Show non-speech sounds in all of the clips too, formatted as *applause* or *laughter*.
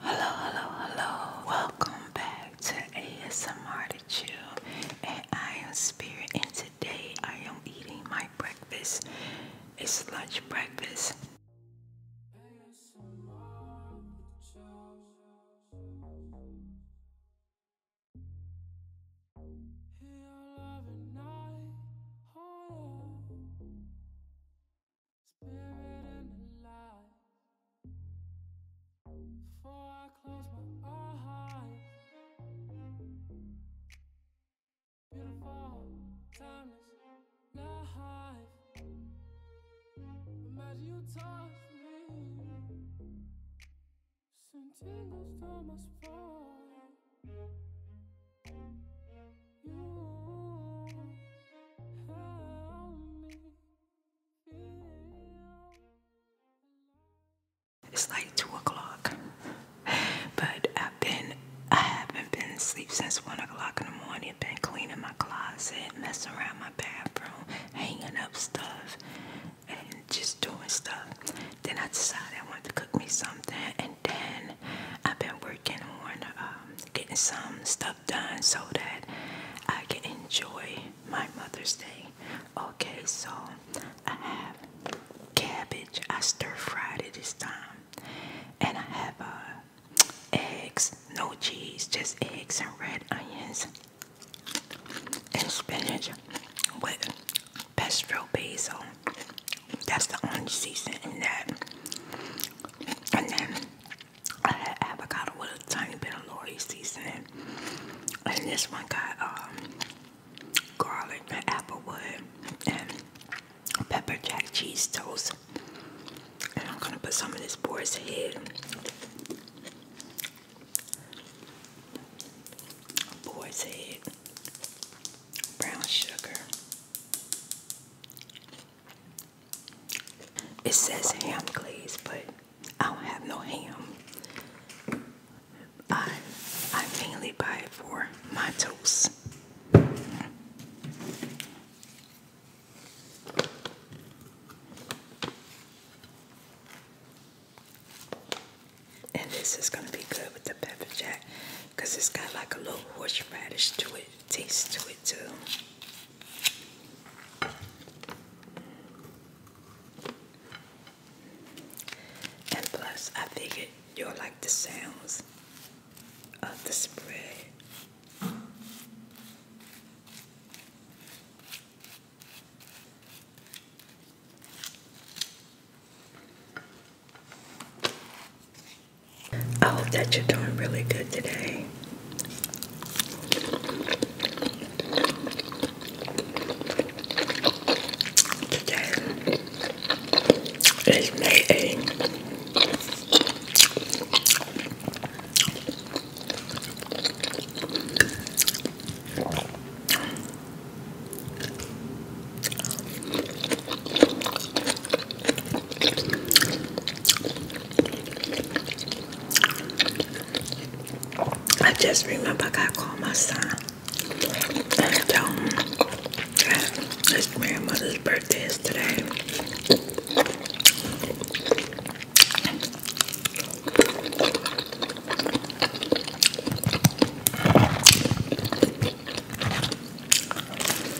Hello, hello, hello. Welcome back to ASMR to Chill. And I am Spirit, and today I am eating my breakfast. It's lunch breakfast. Spirit and the light. Before I close my eyes. Beautiful, timeless life. Imagine you touch me. Send tingles to my spine. It's like two o'clock, but I've been I haven't been asleep since one o'clock in the morning. Been cleaning my closet, messing around my bathroom, hanging up stuff, and just doing stuff. Then I decided I wanted to cook me something, and then I've been working on um, getting some stuff done so that I can enjoy my Mother's Day. Okay, so I have cabbage. I stir fried it this time, and I have uh, eggs, no cheese, just eggs and red onions and spinach with pesto basil. That's the only seasoning in that. And then I had avocado with a tiny bit of Lori seasoning, and this one got um, garlic and applewood and pepper jack cheese toast. And I'm gonna put some of this boy's head, boar's head, brown sugar. It says ham glaze, but I don't have no ham. I I mainly buy it for my toast. And this is gonna be good with the pepper jack because it's got like a little horseradish to it taste to it too. And plus, I figured you'll like the sounds of the spray. I hope that you're doing really good today. Today is May 8th. I just remember I gotta my son and told him um, that his grandmother's birthday is today.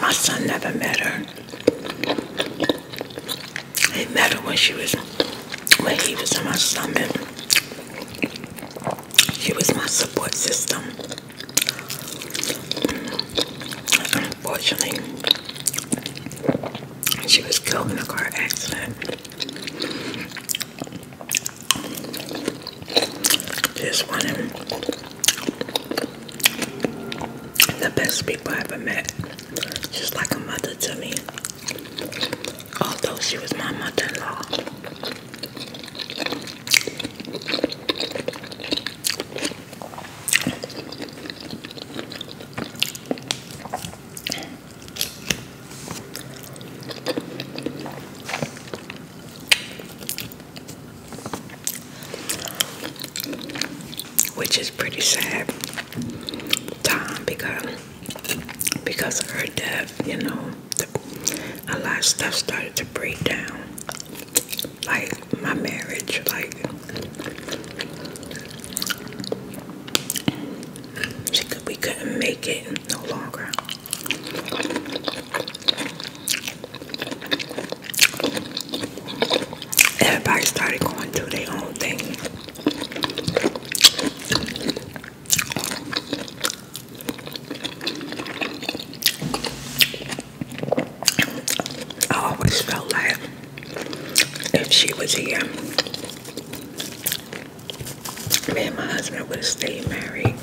My son never met her. He met her when she was, when he was in my stomach. She was my support system. Unfortunately, she was killed in a car accident. Just wanted the best people I ever met. just like a mother to me. Although she was my mother-in-law which is pretty sad time because because of her death you know a lot of stuff started to break down like my marriage like we couldn't make it no longer Everybody started going to their own thing. I always felt like if she was here, me and my husband would have stayed married.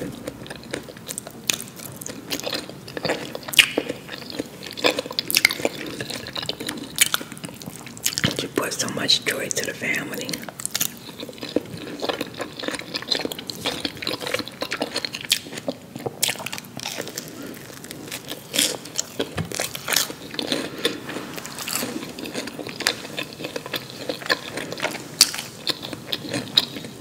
You put so much joy to the family.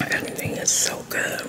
Everything is so good.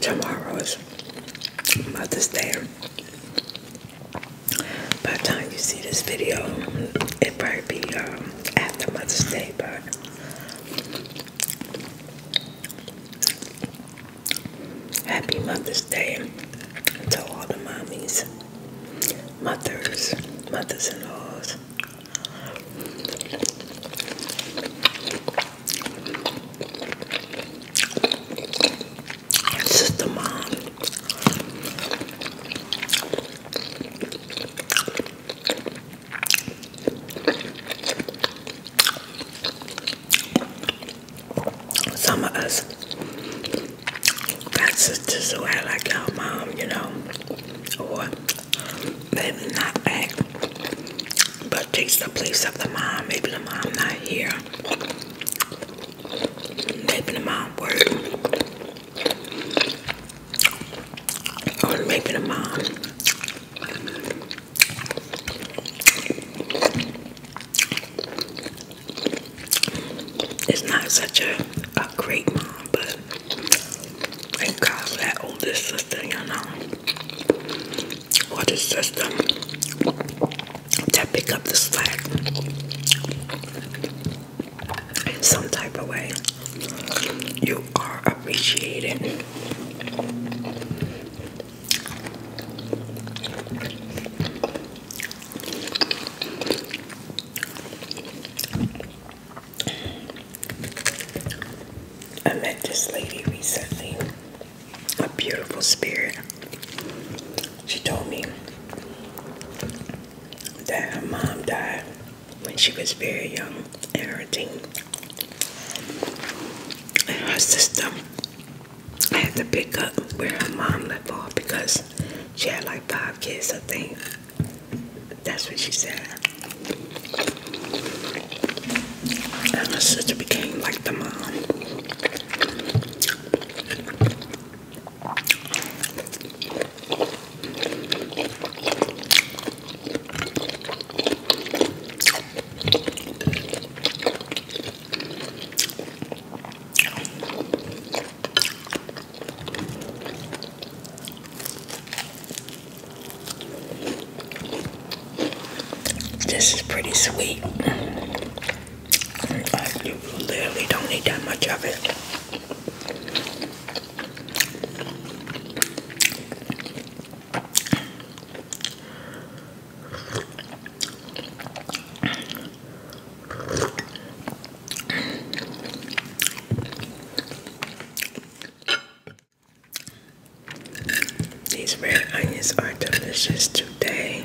Tomorrow is about Mother's Day. By the time you see this video, it might be um, after Mother's Day, but happy Mother's Day to all the mommies, mothers, mothers-in-laws. It's just the mom. Some of us got Just who I like our mom, you know, or maybe not act, but takes the place of the mom. Maybe the mom not here. Making a mom Or making a mom. It's not such a, great mom, but thank God that oldest sister, you know. Or the sister to pick up the slack in some type of way. You are appreciated. I met this lady recently a beautiful spirit. She told me that her mom died when she was very young in her teen. And her sister had to pick up where her mom left off because she had like five kids, I think. That's what she said. And her sister became like the mom. This is pretty sweet. I literally don't need that much of it. These red onions are delicious today.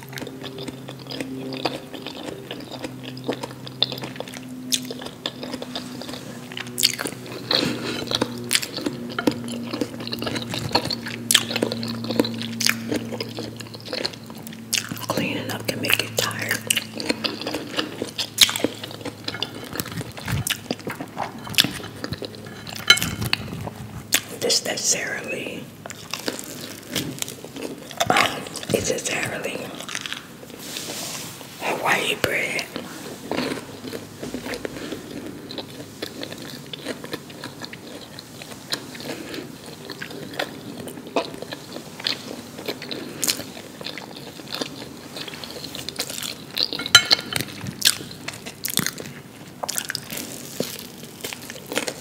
Cleaning up can make you tired. This that Sara Lee. Um, it's entirely Hawaii bread.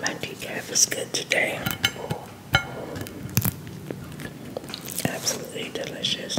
My decaf is good today. Absolutely delicious.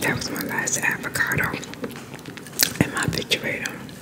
That was my last avocado in my refrigerator.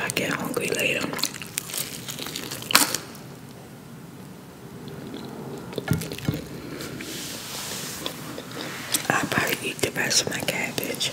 I get hungry later, I'll probably eat the rest of my cabbage.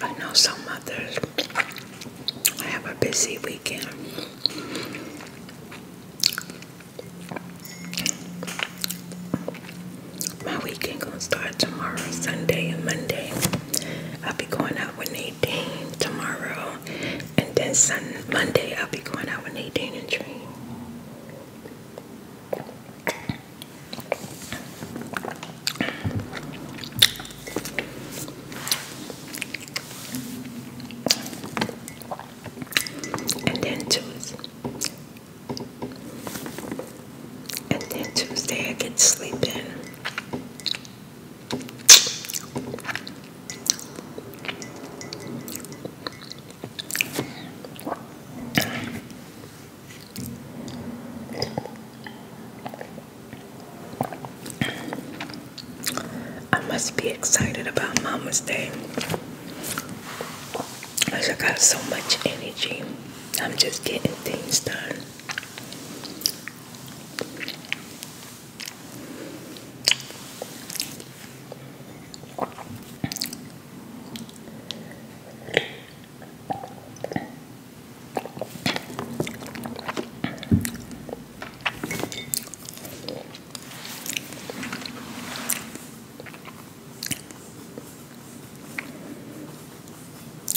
I know some mothers have a busy weekend. My weekend gonna start tomorrow, Sunday and Monday. I'll be going out with Nadine tomorrow, and then Sunday, Monday I'll be going out with Nadine and Dream. And then Tuesday, and then Tuesday I get to sleep in. I must be excited about Mama's Day. Cause I got so much energy. I'm just getting things done.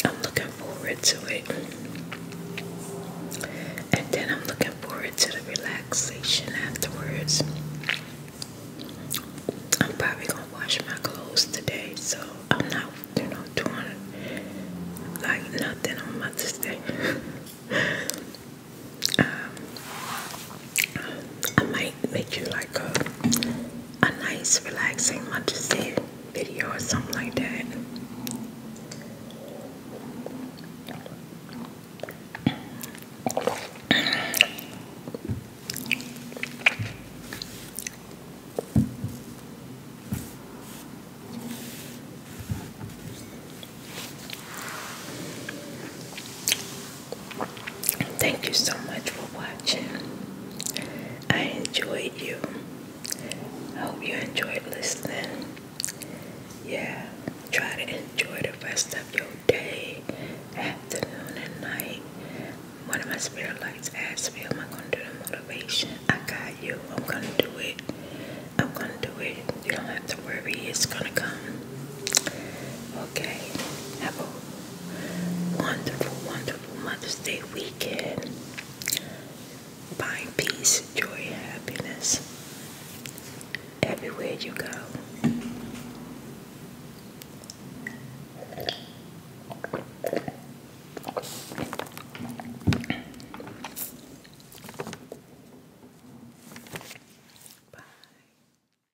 I'm looking forward to it. And then I'm looking forward to the relaxation afterwards. I'm probably gonna wash my clothes today, so I'm not, you know, doing like nothing on Mother's Day. *laughs* um, I might make you like a a nice relaxing Montessori video or something like that. Thank you so much for watching. I enjoyed you. I hope you enjoyed listening. Yeah, try to enjoy the rest of your day, afternoon, and night. One of my spirit lights asked me, Am I going to do the motivation? I got you. I'm going to do it. I'm going to do it. You don't have to worry. It's going to come. Okay. Have wonderful, wonderful Mother's Day weekend. Find peace, joy, happiness everywhere you go. Bye.